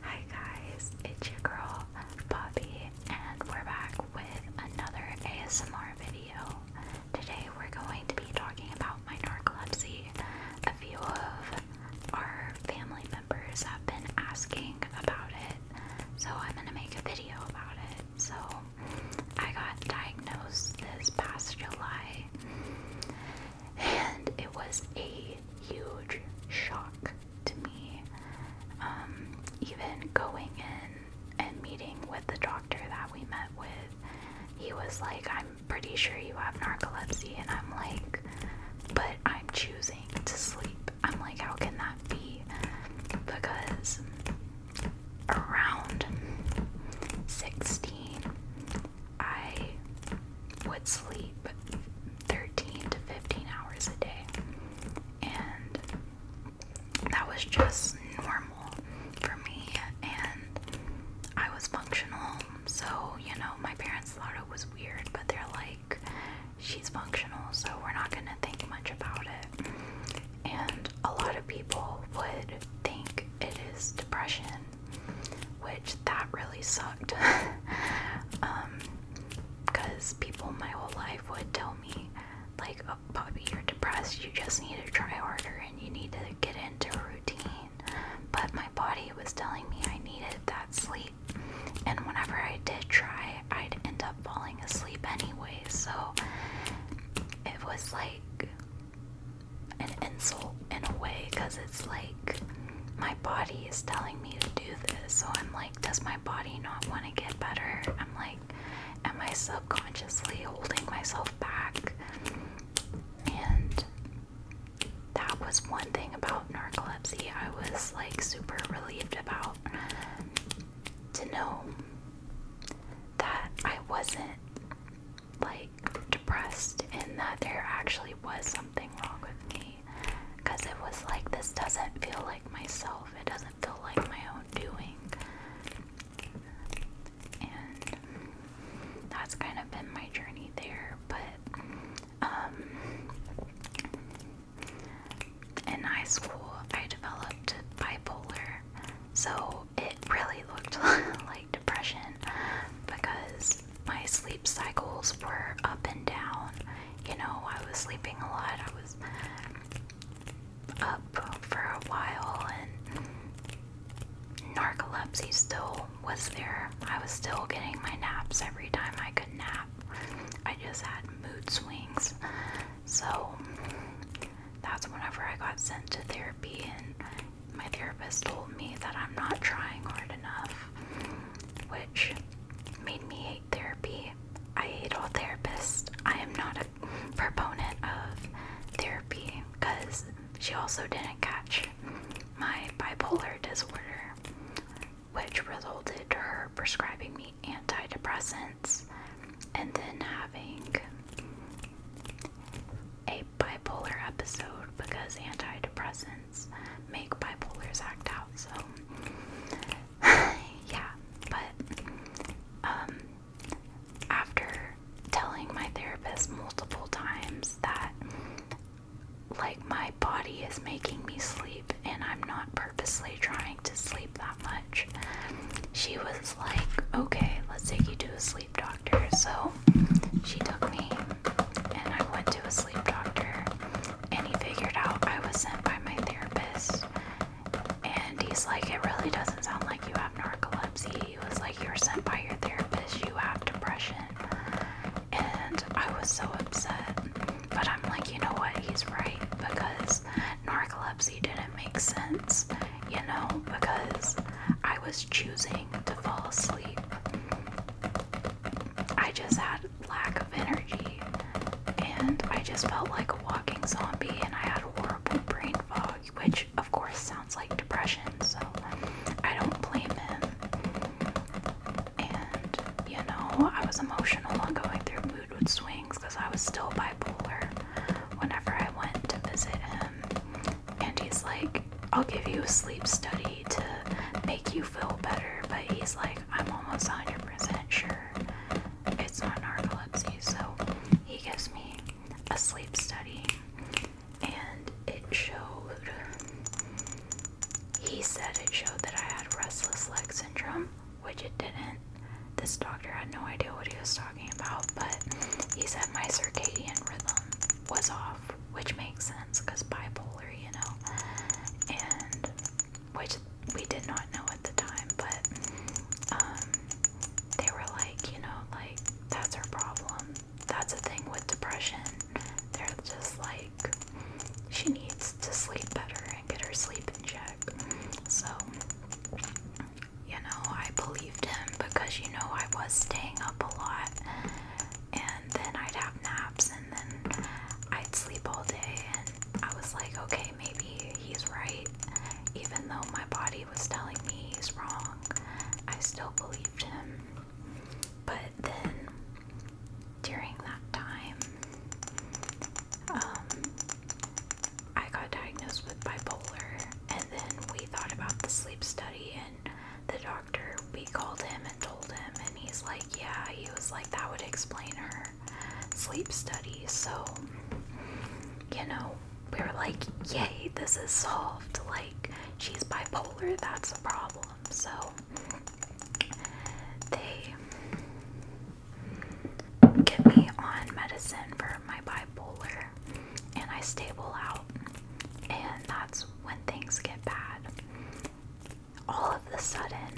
Hi guys, it's your girl Poppy, and we're back with another ASMR video. Today we're going to be talking about my narcolepsy. A few of our family members have been asking about it, so I'm gonna make a video about it. So I got diagnosed this past July and it was a huge shock to me. Um, even going in and meeting with the doctor that we met with, he was like, I'm pretty sure you have narcolepsy. And I'm like, but I'm choosing to sleep. I'm like, how can that be? Because around 16, I would sleep 13 to 15 hours a day, and that was just normal for me. And I was functional, so you know, my parents thought it was weird, but they're like, she's functional, so we're not gonna think much about it. And a lot of people would think it is depression which that really sucked. um, because people my whole life would tell me, like, oh, Bobby, you're depressed, you just need to try harder and you need to get into a routine. But my body was telling me I needed that sleep, and whenever I did try, I'd end up falling asleep anyway, so it was like an insult in a way because it's like my body is telling me to do this. So I'm like, does my body not want to get better? I'm like, am I subconsciously holding myself back? And that was one thing about narcolepsy I was like super relieved about to know that I wasn't like depressed in that there actually was something wrong with me because it was like this doesn't feel like myself, it doesn't feel like my own doing. And that's kind of been my journey there, but um, in high school I developed bipolar. So it really looked like depression because my sleep cycles were up and down. You know, I was sleeping a lot. I was up for a while and narcolepsy still was there. I was still getting my naps every time I could nap. I just had mood swings. So that's whenever I got sent to therapy and my therapist told me that I'm not trying hard enough, which made me hate therapy. I hate all therapists. I am not a proponent of therapy because she also didn't catch my bipolar disorder, which resulted to her prescribing me antidepressants and then having a bipolar episode because antidepressants make bipolars act out. So, yeah, but um, after telling my therapist multiple times that, like, my body is making me sleep and I'm not purposely trying to sleep that much, she was like, okay, let's take you to a sleep doctor so she took me and I went to a sleep doctor and he figured out I was sent by my therapist and he's like, It really doesn't sound like you have narcolepsy. He was like, you were sent by your therapist, you have depression. And I was so upset. But I'm like, you know what? He's right because narcolepsy didn't make sense, you know, because I was choosing to fall asleep. I just had lack of energy and I just felt like a walking zombie and I had a horrible brain fog, which of course sounds like depression, so I don't blame him. And you know, I was emotional and going through mood swings because I was still bipolar whenever I went to visit him. And he's like, I'll give you a sleep study to make you feel better, but he's like, I'm almost 100% sure it's not narcolepsy. So he gives me a sleep study, and it showed, he said it showed that I had restless leg syndrome, which it didn't. This doctor had no idea what he was talking about, but he said my circadian rhythm was off which makes sense because bipolar, you know, and which we did not know at the time, but um, they were like, you know, like that's her problem. That's a thing with depression. They're just like, she needs to sleep better and get her sleep in check. So, you know, I believed him because, you know, I was staying up a lot and then I'd have naps and then I'd sleep all day and I was like, okay, maybe he's right. Even though my body was telling me he's wrong, I still believed him. But then during that time, um, I got diagnosed with bipolar, and then we thought about the sleep study, and the doctor, we called him and told him, and he's like, Yeah, he was like, that would explain her sleep studies." So, you know, we were like, Yay, this is solved. Like, she's bipolar, that's a problem. So, they get me on medicine for my bipolar, and I stable out, and that's when things get bad. All of a sudden,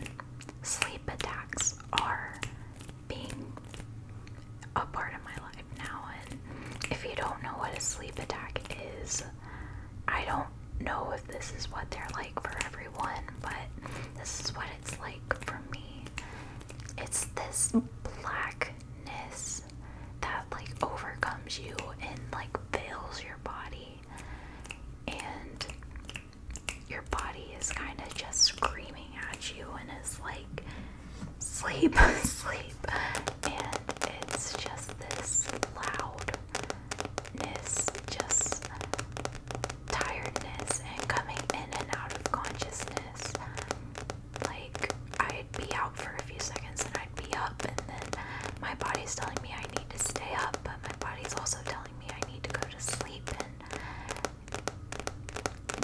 sleep attacks are being a part of my life now. And if you don't know what a sleep attack is, I don't know if this is what they're like for everyone, but this is what it's like for me. It's this blackness that like overcomes you and like fails your body and your body is kind of just screaming at you and is like sleep sleep and it's just this loudness just tiredness and coming in and out of consciousness like I'd be out for a few seconds and I'd be up and then my body's telling me I need to stay up but my body's also telling me I need to go to sleep and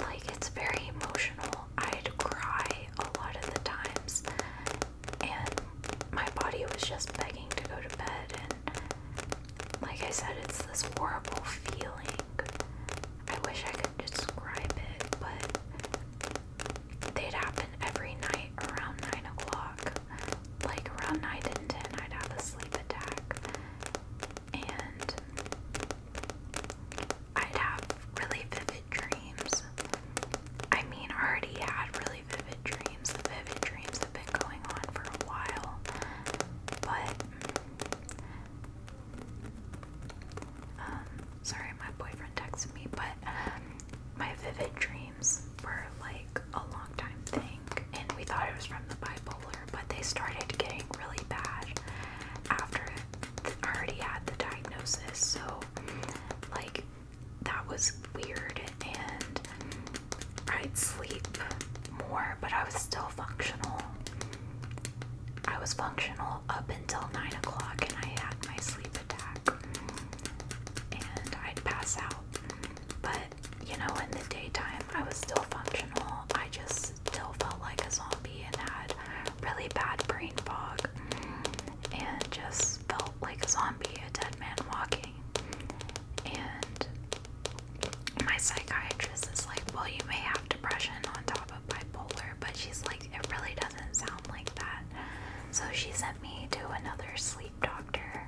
like it's very emotional. I'd cry a lot of the times and my body was just begging to go to bed and like I said it's this horrible feeling. I wish I could to describe it, but they'd happen every night around 9 o'clock. Like around 9 and 10, I'd have a sleep attack. And I'd have really vivid dreams. I mean, I already had really vivid dreams. The vivid dreams have been going on for a while. But um, sorry, my boyfriend texted me, but um, my vivid dreams were like a long time thing, and we thought it was from the bipolar, but they started getting really bad after I already had the diagnosis, so like that was weird, and I'd sleep more, but I was still functional. I was functional up until 9 o'clock and I had my sleep attack and I'd pass out. But, you know, in the daytime, I was still functional. I just still felt like a zombie and had really bad brain fog and just felt like a zombie, a dead man walking. And my psychiatrist is like, well, you may have depression on top of bipolar but she's like, it really doesn't sound like that. So she sent me to another sleep doctor.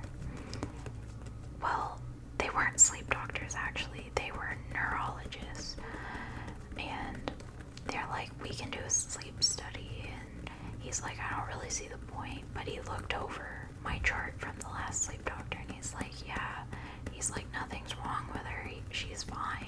Well, they weren't sleep doctors actually, they were neurologists. And they're like, we can do a sleep study. And he's like, I don't really see the point. But he looked over my chart from the last sleep doctor and he's like, yeah. He's like, nothing's wrong with her, she's fine.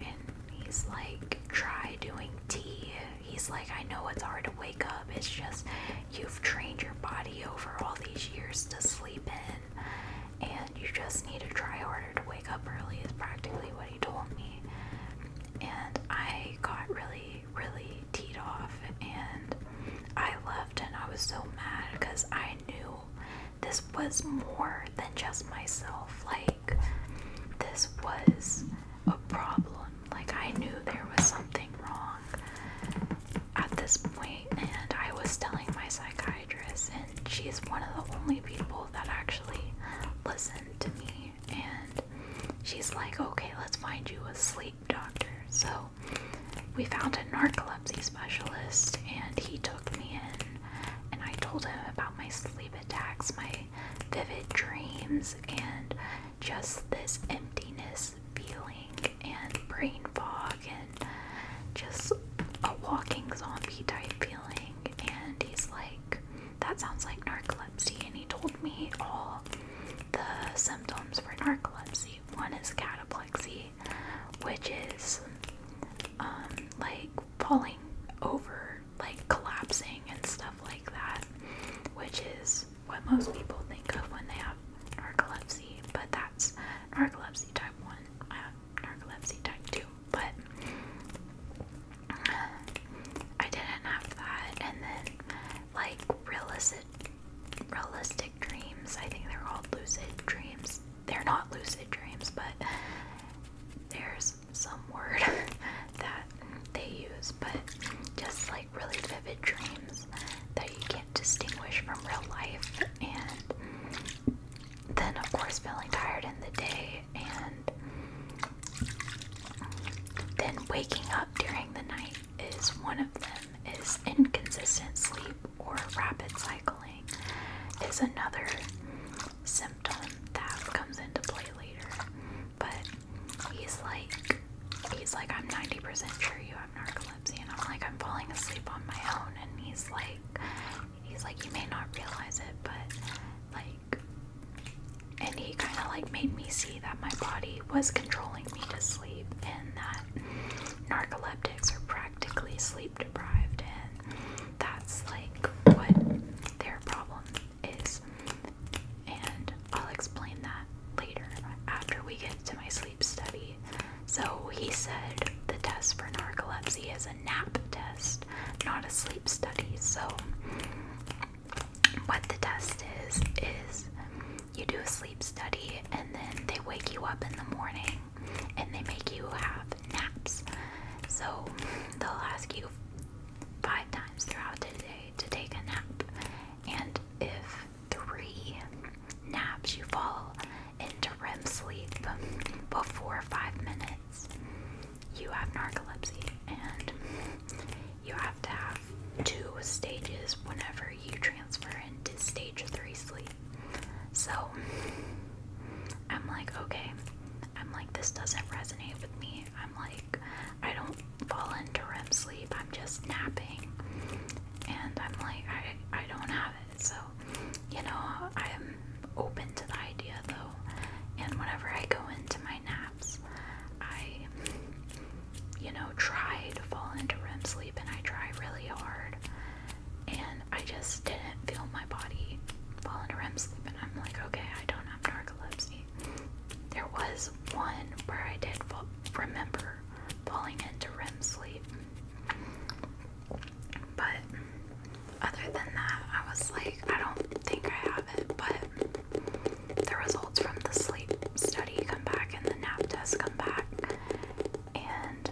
And He's like, try doing tea. He's like, I know it's hard to wake up. It's just you've trained your body over all these years to sleep in, and you just need to try harder to wake up early, is practically what he told me. And I got really, really teed off, and I left, and I was so mad because I knew this was more than just myself. Like, this was a problem. Like, I knew there was something wrong at this point, and I was telling my psychiatrist, and she's one of the only people that actually listened to me. And she's like, okay, let's find you a sleep doctor. So, we found a narcolepsy specialist, and he took me in and I told him about my sleep attacks, my vivid dreams, and just this emptiness feeling and brain fog and just a walking zombie type feeling. And he's like, that sounds like narcolepsy. And he told me all the symptoms for narcolepsy. One is cataplexy, which is um, like falling over, like collapsing and stuff like that, which is what most people think of when they have narcolepsy, but that's narcolepsy type 1, I uh, have narcolepsy type 2. But I didn't have that, and then like realistic, realistic dreams. I think they're called lucid dreams they're not lucid dreams, but there's some word that they use, but just like really vivid dreams that you can't distinguish from real life. And then, of course, feeling tired in the day, and then waking up during the night is one of them, is inconsistent sleep or rapid cycling is another symptom that comes into play later. But he's like, he's like, I'm 90% sure you have narcolepsy, and I'm like, I'm falling asleep on my own, and he's like, he's like, you may not realize it, but like, and he kind of like made me see that my body was controlling me to sleep, and that narcoleptics are practically sleep deprived, and that's like what their problem is. And I'll explain that later after we get to my sleep study. So he said the test for narcolepsy is a nap test, not a sleep study. So what the test is is you do a sleep study and then they wake you up in the morning and they make you have naps. So they'll ask you five times throughout the day to take a nap, and if three naps you fall into REM sleep before five minutes, you have narcolepsy, and you have to have two stages whenever you transfer into stage three sleep. So I'm like, okay. I'm like, this doesn't resonate with me. I'm like, I don't fall into REM sleep. I'm just napping. And I'm like, I, I don't have it. So, you know, I'm open to the idea though. And whenever I go into my naps, I, you know, try to fall into REM sleep and I try really hard and I just didn't feel my body falling into REM sleep. And I'm like, okay, I don't have narcolepsy. There was one where I did fall, remember falling into REM sleep, but other than that, I was like, I don't think I have it. But the results from the sleep study come back and the nap test come back, and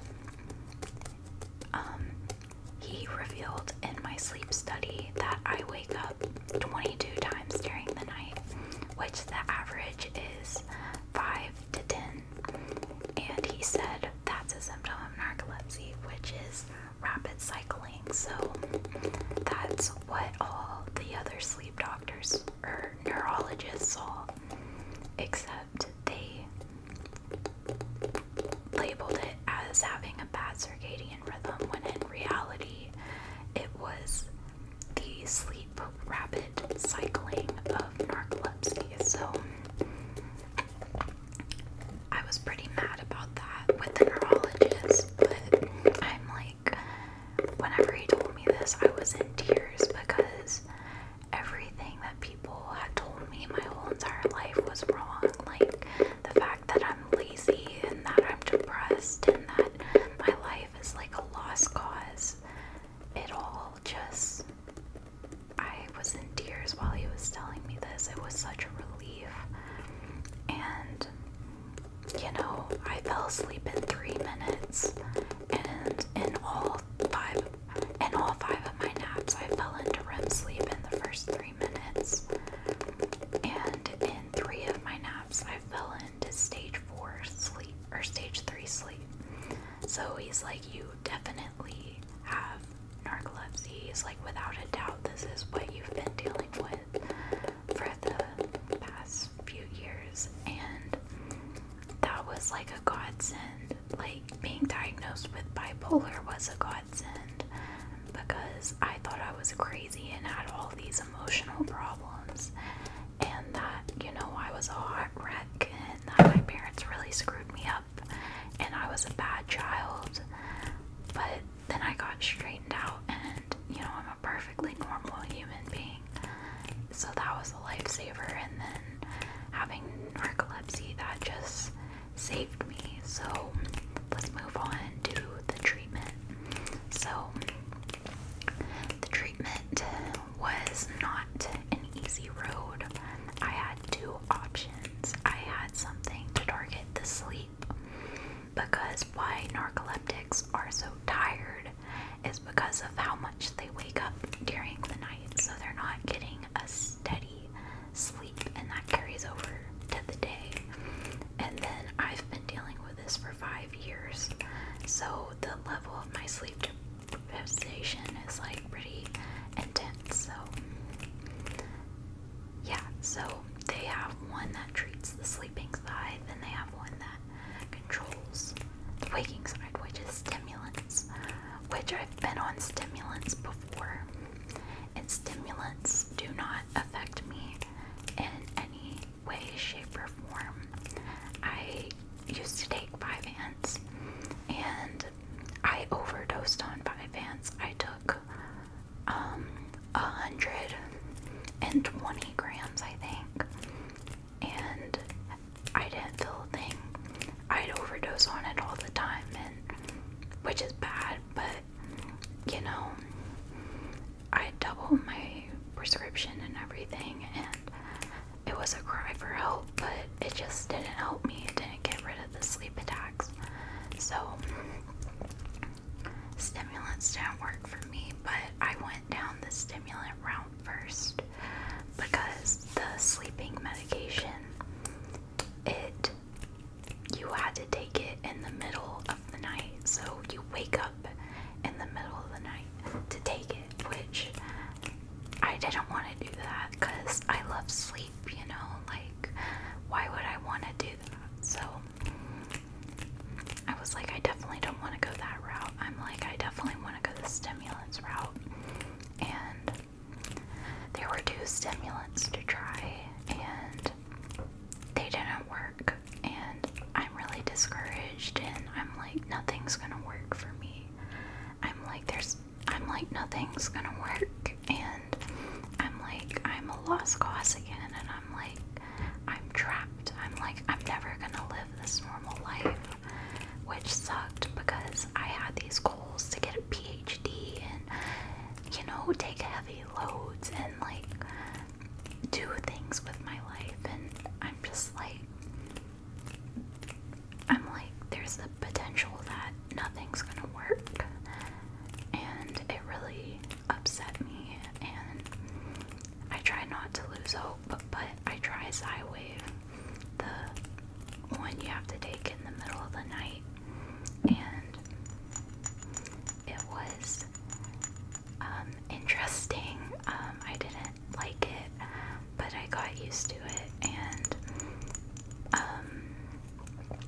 um, he revealed in my sleep study that I wake up 22 times during the night, which the average is 5 to 10. And he said that's a symptom of narcolepsy, which is rapid cycling. So that's what all the other sleep doctors or neurologists saw, except they labeled it as having a bad circadian rhythm when in reality it was the sleep rapid cycling of narcolepsy. So I was pretty mad about that with the neurologist, but I'm like, whenever he told me this, I was in tears because everything that people had told me my whole entire life was wrong. Like the fact that I'm lazy and that I'm depressed and that my life is like a lost cause. It all just. I was in tears while he was telling me this. It was such a relief. And, you know, I fell asleep in three minutes. And in all five and all five of my naps I fell into REM sleep in the first three minutes. And in three of my naps I fell into stage four sleep or stage three sleep. So he's like, you definitely have narcolepsy. He's like, without a doubt, this is what you've been dealing with for the past few years. And that was like a godsend. Like being diagnosed with bipolar was a godsend because I thought I was crazy and had all these emotional problems, and that you know I was a hot wreck and that my parents really screwed me up and I was a bad child. But then I got straightened out, and you know I'm a perfectly normal human being. So that was a lifesaver, and then having narcolepsy that just saved me. So let's move on to the treatment. So the treatment was not an easy road. I had two options. I had something to target the sleep because why narcoleptics are so tired is because of how much they wake up during the night, so they're not getting a steady sleep, and that carries over to the day. And then I've been dealing with this for five years, so the level of my sleep deprivation is like pretty intense. So, yeah, so they have one that treats the sleeping side, then they have one that controls the waking side, which is stimulants, which I I've been on stimulants before, and stimulants do not affect me in any way, shape, or form. I used to take five hands, and I overdosed on five hands. I took um 120 grams, I think, and I didn't feel a thing. I'd overdose on it all the time, and which is bad, but you know, I doubled my prescription and everything, and it was a cry for help, but it just didn't help me. It didn't get rid of the sleep attacks. So, stimulants didn't work for me, but I went down the stimulant route first because the sleeping medication it you had to take it in the middle of the night so you wake up in the middle of the night to take it which I didn't want to do that cuz I love sleep you know like why would I want to do that so I was like I definitely don't want to go that route I'm like I definitely want to go the stimulants route and there were two stimulants to try, and they didn't work. And I'm really discouraged, and I'm like, nothing's gonna work for me. I'm like, there's, I'm like, nothing's gonna work, and I'm like, I'm a lost cause again, and I'm like, I'm trapped. I'm like, I'm never gonna live this normal life which sucked because I had these goals to get a PhD and, you know, take heavy loads and like do things with my life. And I'm just like, I'm like, there's the potential that nothing's gonna work. And it really upset me. And I try not to lose hope but I try Zywave, the one you have to take in the middle of the night, and it was um, interesting. Um, I didn't like it, but I got used to it, and um,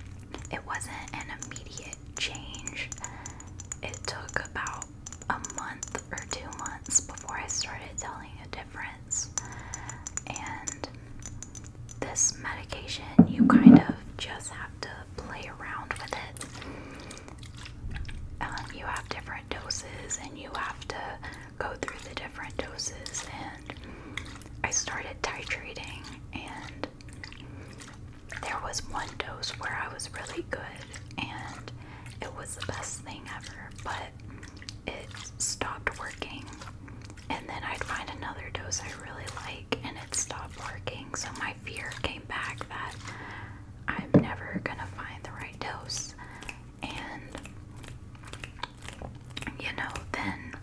it wasn't an immediate change. It took about a month or two months before I started telling a difference. And this medication, you kind of just have to play around with it. Um, you have different doses, and you have to go through the different doses. And I started titrating, and there was one dose where I was really good, and it was the best thing ever. But it stopped working. And then I'd find another dose I really like and it stopped working. So my fear came back that I'm never gonna find the right dose. And you know, then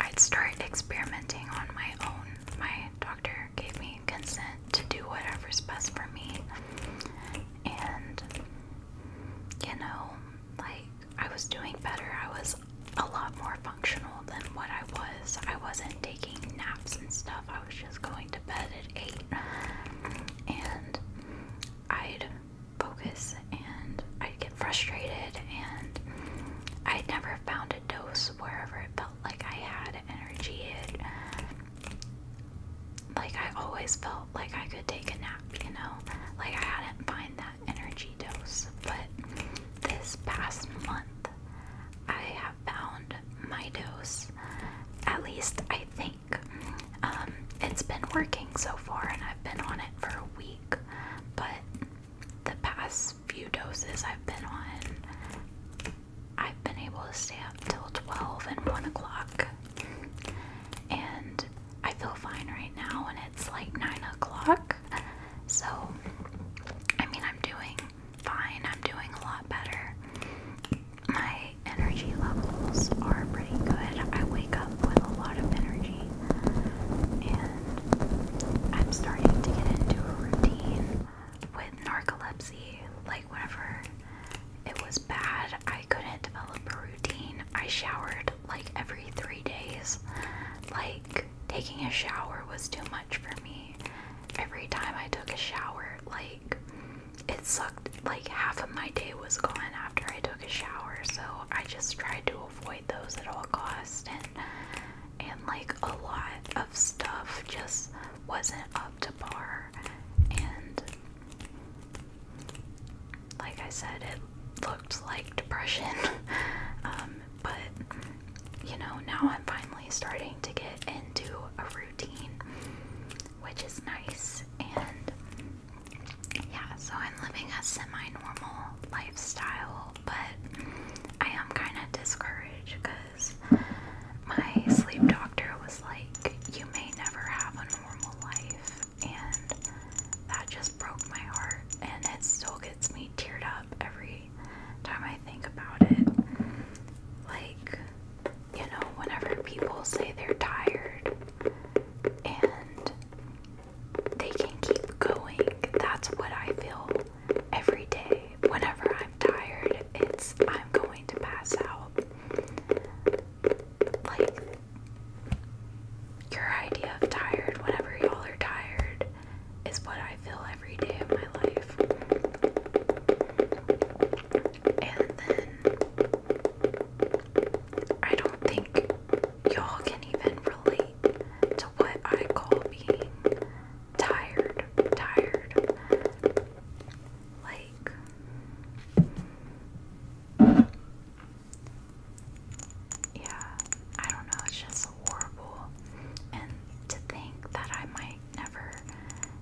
I'd start experimenting on my own. My doctor gave me consent to do whatever's best for me and you know, like I was doing better. I was a lot more functional than what I was. I wasn't taking naps and stuff. I was just going to bed at 8 and I'd focus and I'd get frustrated and I would never found a dose wherever it felt like I had energy like I always felt like I could take a nap, you know? Like I hadn't find that energy dose. But this past month I have found my dose. At least I think. Um, it's been working so far and I've been on it for a week. But the past few doses I've been on I've been able to stay up till 12 and 1 o'clock. And I feel fine right now, and it's like 9 o'clock. So, I mean, I'm doing fine. I'm doing a lot better. My energy levels are pretty good. I wake up with a lot of energy, and I'm starting to get into a routine with narcolepsy. Like, whenever it was bad. I couldn't develop a routine. I showered like every three days. Like, taking a shower was too much for me. Every time I took a shower, like, it sucked. Like, half of my day was gone after I took a shower. So, I just tried to avoid those at all costs. And, and like, a lot of stuff just wasn't up to par. And like I said, it looked like depression, um, but you know, now I'm finally starting to get into a routine, which is nice. And yeah, so I'm living a semi normal lifestyle, but I am kind of discouraged because my sleep doctor was like, You may never have one." normal life and that just broke my heart and it still gets me teared up every time I think about it. Like, you know, whenever people say they're tired and they can keep going, that's what I feel every day. Whenever I'm tired, it's I'm going to pass out like your idea of tired, whenever y'all are tired, is what I feel every day of my life. And then I don't think y'all can even relate to what I call being tired, tired. Like, like yeah, I don't know, it's just horrible. And to think that I might never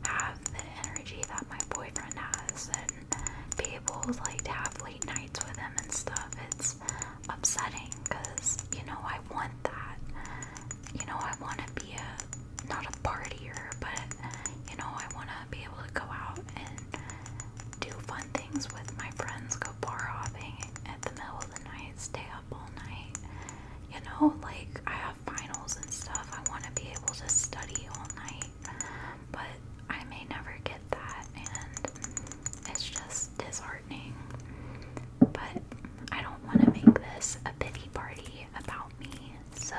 have the energy that my boyfriend has and be able like to have late nights with him and stuff, it's upsetting because you know I want that. You know, I want to be a not a partier, but you know, I want to be able to go out and do fun things with my friends, go bar hopping at the middle of the night, stay up all night. You know, like I have finals and stuff, I want to be able to study all night, but I may never get that, and it's just disheartening. But I don't want to make this a pity party about me, so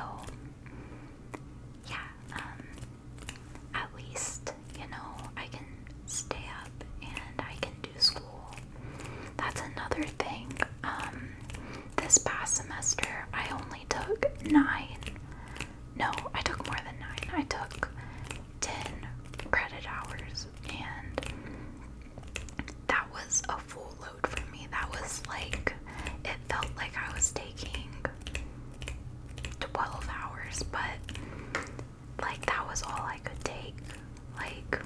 yeah, um, at least, you know, I can stay up and I can do school. That's another thing. Um, this past semester, I only took nine. No, I took more than nine. I took 10 credit hours, and that was a full load for me. That was like, it felt like I was taking 12 hours, but like that was all I could take. Like,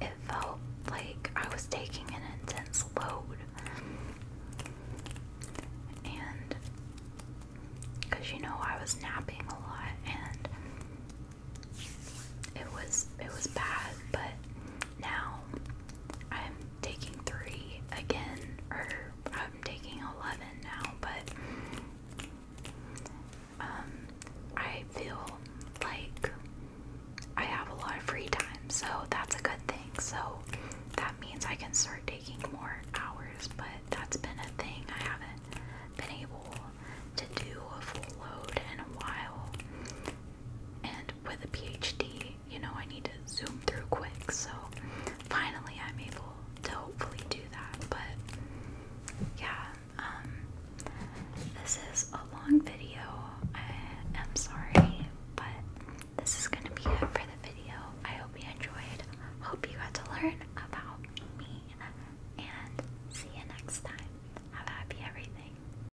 it felt like I was taking an intense load. And, because you know, I was napping a lot and it was it was bad but now I'm taking three again, or I'm taking 11 now, but um, I feel like I have a lot of free time, so that's a good thing. So that means I can start taking more hours, but that's been a thing I haven't been able to do a full load in a while. And with a PhD, you know, I need to zoom through quick. So finally, I'm able to hopefully do that. But yeah, um, this is a long video. I am sorry, but this is gonna be it for the video. I hope you enjoyed. Hope you got to learn about me, and see you next time. Have happy everything.